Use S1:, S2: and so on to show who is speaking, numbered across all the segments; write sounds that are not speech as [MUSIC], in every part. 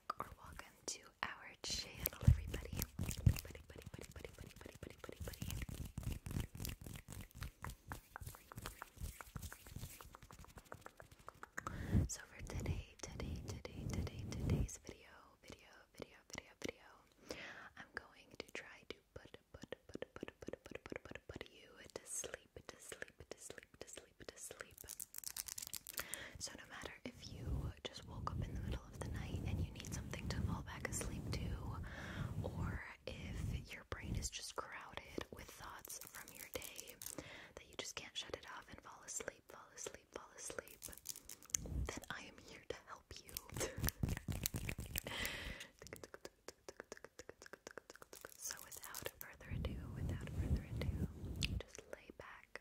S1: back or welcome to our channel, everybody. Buddy, buddy, buddy, buddy, buddy, buddy, buddy, buddy, buddy. So for today, today, today, today, today's video, video, video, video, video, I'm going to try to put, put, put, put, put, put, put, put, put you to sleep, to sleep, to sleep, to sleep, to sleep. So no matter if you just woke up in the middle of the night and you need something to fall back asleep to, or if your brain is just crowded with thoughts from your day that you just can't shut it off and fall asleep, fall asleep, fall asleep, then I am here to help you. [LAUGHS] So, without further ado, without further ado, just lay back,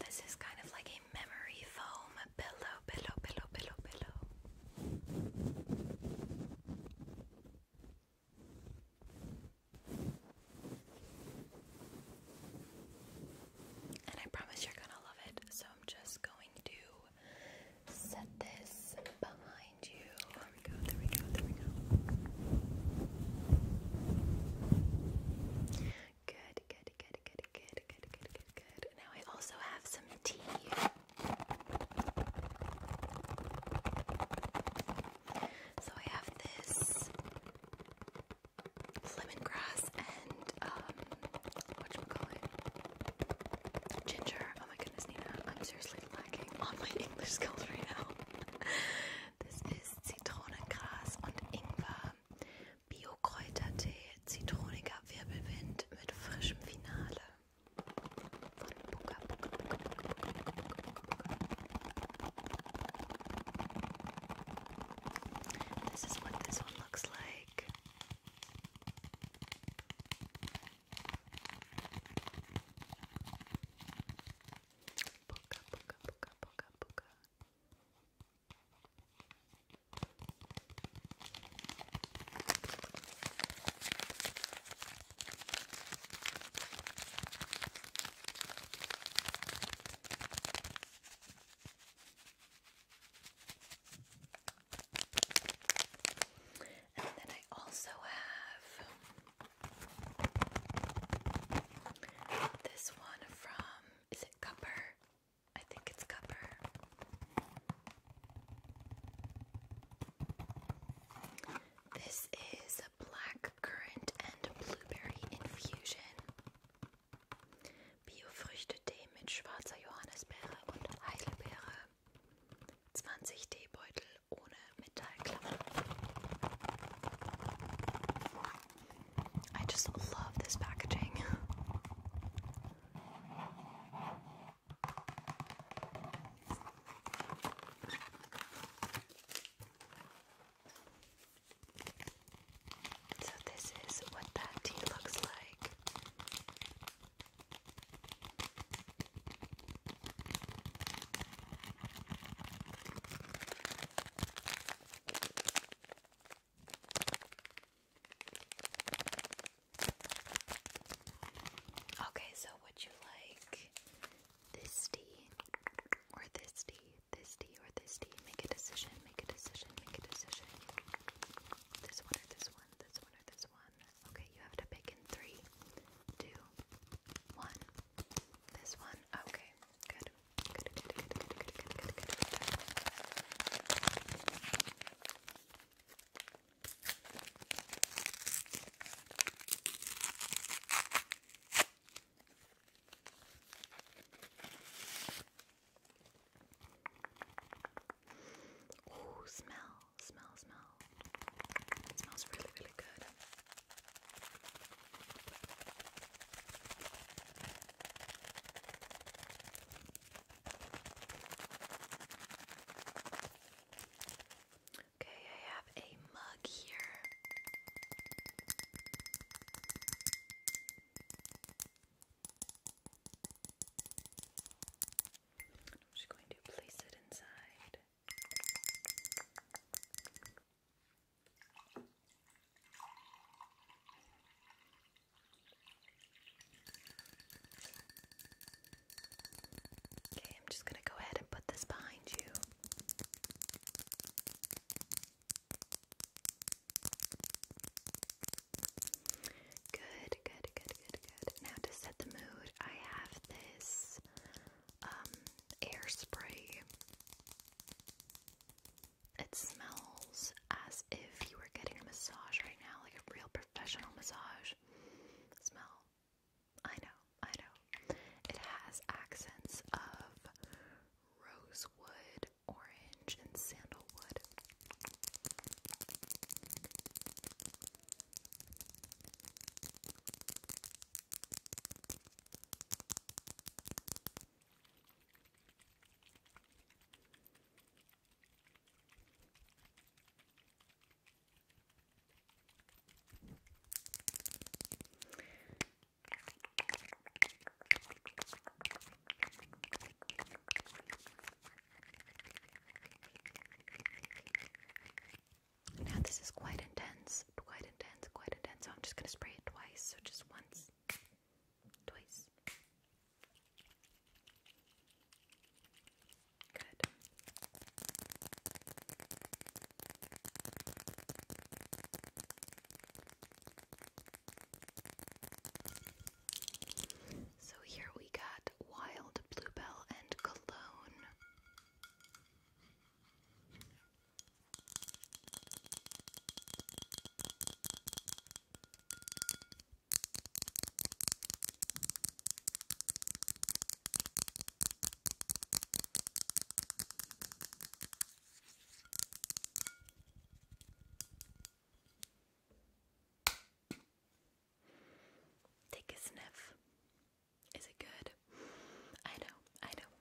S1: This is kind of like a memory foam pillow, pillow, pillow, pillow, pillow. And I promise you're gonna love it. So I'm just going to set this behind you. There we go, there we go, there we go. Good, good, good, good, good, good, good, good, good. Now I also have some tea. So I have this lemongrass and um whatchamacallit? Ginger. Oh my goodness, Nina. I'm seriously lacking on my [LAUGHS] English skills right now. this is Zitronengras und Ingwer. Bio-Kräutertee, zitroniger Wirbelwind mit frischem Finale. Von Buka, this is what this one looks like. Puka, puka, puka, puka, puka. And then I also have this one from, is it Cupper? I think it's Cupper. This is a black Blackcurrant Blueberry Infusion. Biofrüchtetee mit schwarzer Johannisbeere und Heidelbeere. I just love this packaging. So, this is what that tea looks like. Okay, so would you like this tea or this tea, this tea or this tea. Make a decision, make a decision, make a decision. This one or this one, this one or this one. Okay, you have to pick in three, two, one. This one. Okay, good. Good, good, good, good, good, good, good, good. Oh, smell, smell, smell. It smells really, really good. Okay, I have a mug here. I'm just going to place it inside. Okay, I'm just going to go ahead and put this behind you. Good, good, good, good, good. Now to set the mood, I have this um, air spray. It smells as if you were getting a massage right now, like a real professional massage. Smell. I know. I know. It has accents of rosewood, orange, and sandalwood. Now this is quite intense, quite intense, quite intense. So I'm just gonna spray it twice. So just once, twice. Good. So here we got wild bluebell and cologne. Take a sniff. Is it good? I know, I know.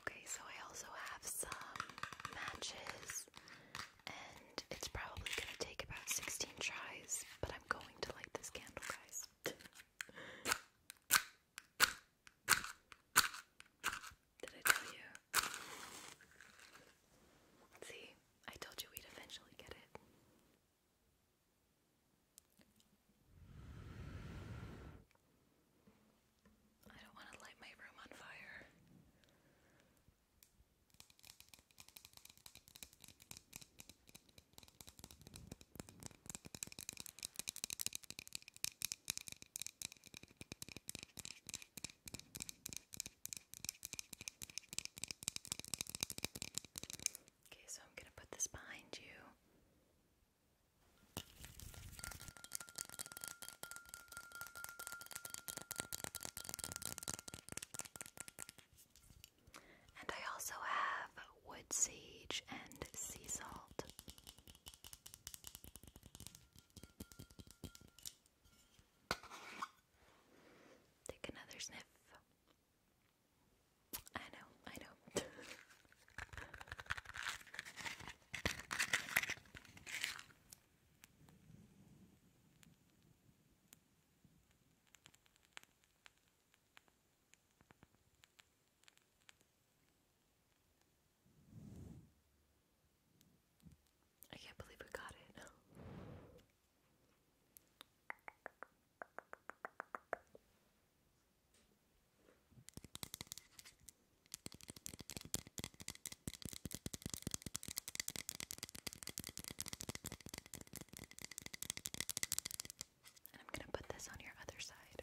S1: Okay, so I also have some matches, and it's probably gonna take about 16 tries, but I'm going to light this candle, guys. Did I tell you? See, I told you we'd eventually get it. I don't want to light my room on fire. Okay, so I'm going to put this behind you. And I also have wood sage and sea salt. Take another sniff. I know, I know. I can't believe we got it. I'm going to put this on your other side.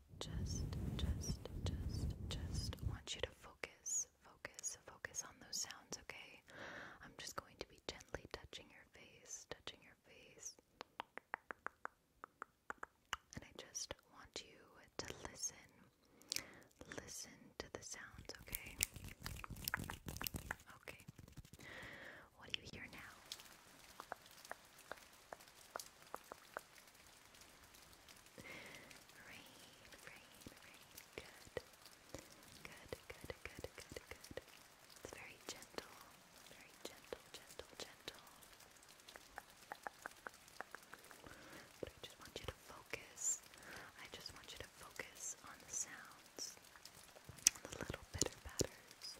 S1: just, just, just, just want you to focus, focus, focus on those sounds, okay? I'm just going to be gently touching your face, touching your face. And I just want you to listen. Listen to the sounds, okay? Okay. What do you hear now? Rain, rain, rain. Good. Good, good, good, good, It's very gentle. Very gentle, gentle, gentle. But I just want you to focus. I just want you to focus on the sounds, on the little pitter patters,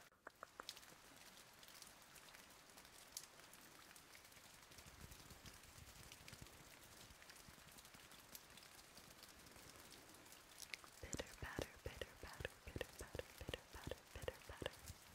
S1: Bitter batter, bitter batter, bitter batter, bitter batter, bitter batter. Bitter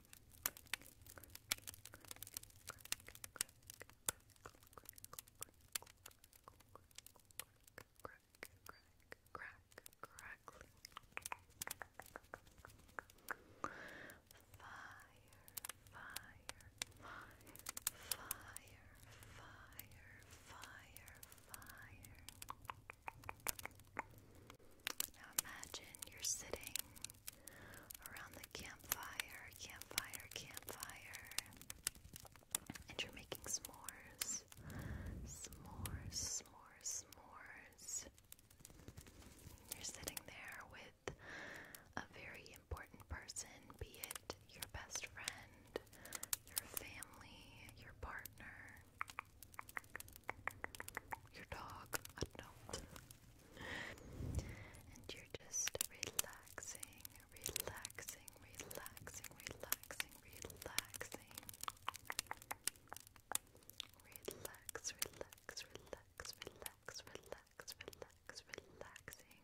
S1: fire. Now imagine you're sitting around the campfire, campfire, campfire, and you're making s'mores, s'mores, s'mores, s'mores. You're sitting there with a very important person, be it your best friend, your family, your partner, your dog, I don't know and you're just relaxing, relaxing, relaxing, relaxing, relaxing. Relax, relax, relax, relax, relax, relax, relaxing.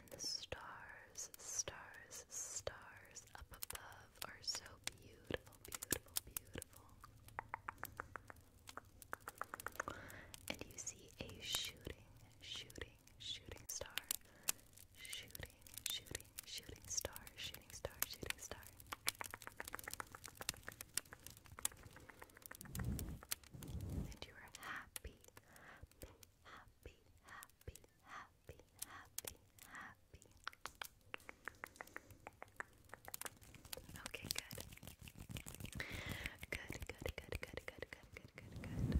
S1: And the stars, stars, stars up above are so beautiful, beautiful, beautiful and you see a shooting, shooting, shooting star, shooting, shooting, shooting star, shooting star, shooting star. And you are happy, happy, happy, happy, happy, happy, happy. Okay, good. Good, good, good, good, good, good, good,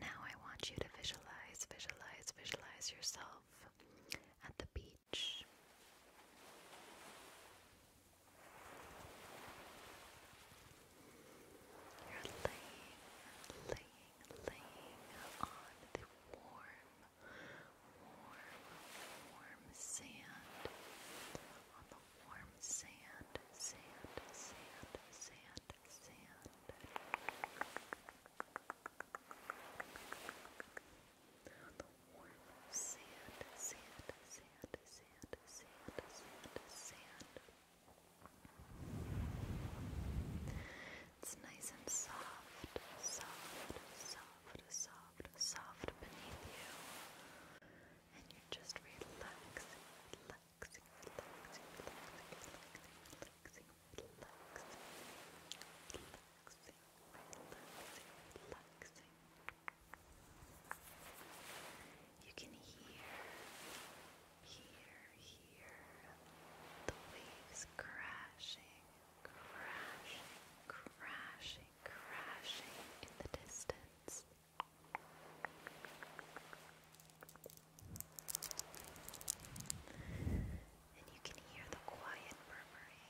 S1: Now I want you to visualize, visualize, visualize yourself at the beach. You're laying, laying on the warm, warm, warm sand. On the warm sand, sand, sand, sand, sand. On the warm sand, sand, sand, sand, sand, sand, it's nice and soft, soft, soft, soft, soft beneath you. And you're just relaxing, relaxing, relaxing, relaxing, relaxing, relaxing, relaxing, relaxing, relaxing, You can hear here, here, the waves crashing, crashing, crashing, crashing in the distance. And you can hear the quiet murmuring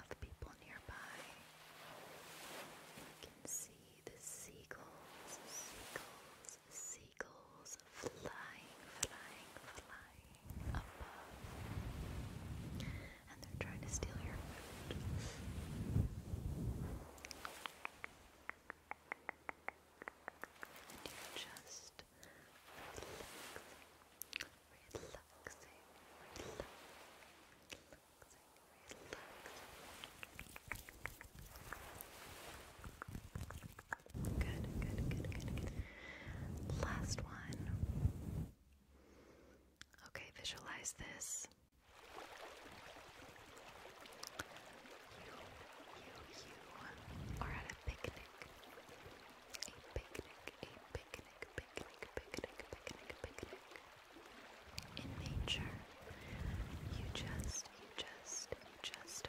S1: of people nearby. and You can see the seagulls, seagulls, seagulls flying, flying, flying above. And they're trying to steal your food. And you just relaxing, relaxing, relaxing, relaxing, relaxing. Good, good, good, good, good. Last one. Okay, visualize this. You, you, you are at a picnic. A picnic, a picnic, picnic, picnic, picnic, picnic. In nature, you just, you just, you just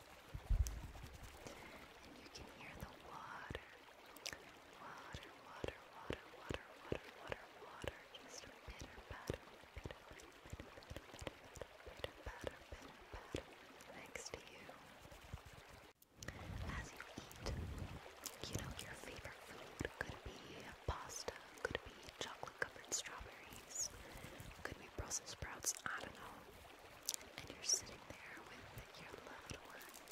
S1: And you can hear the water. Water, water, water, water, water, water, water. Just pitter patter, pitter patter, pitter patter, pitter patter, pitter patter, pitter next to you. As you eat, you know your favorite food could be pasta, could be chocolate covered strawberries, could be Brussels sprouts, I don't know and you're sitting there with your loved ones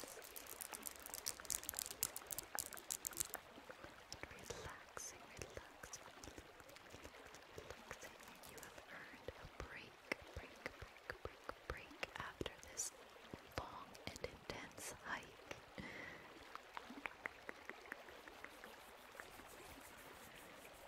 S1: relaxing, relaxing, relaxing, you have earned a break, break, break, break, break after this long and intense hike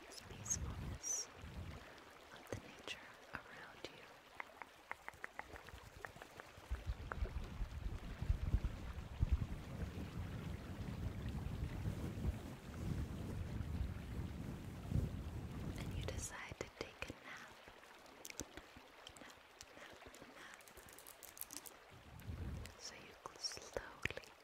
S1: peacefulness of the nature around you. you decide to take a nap. So you slowly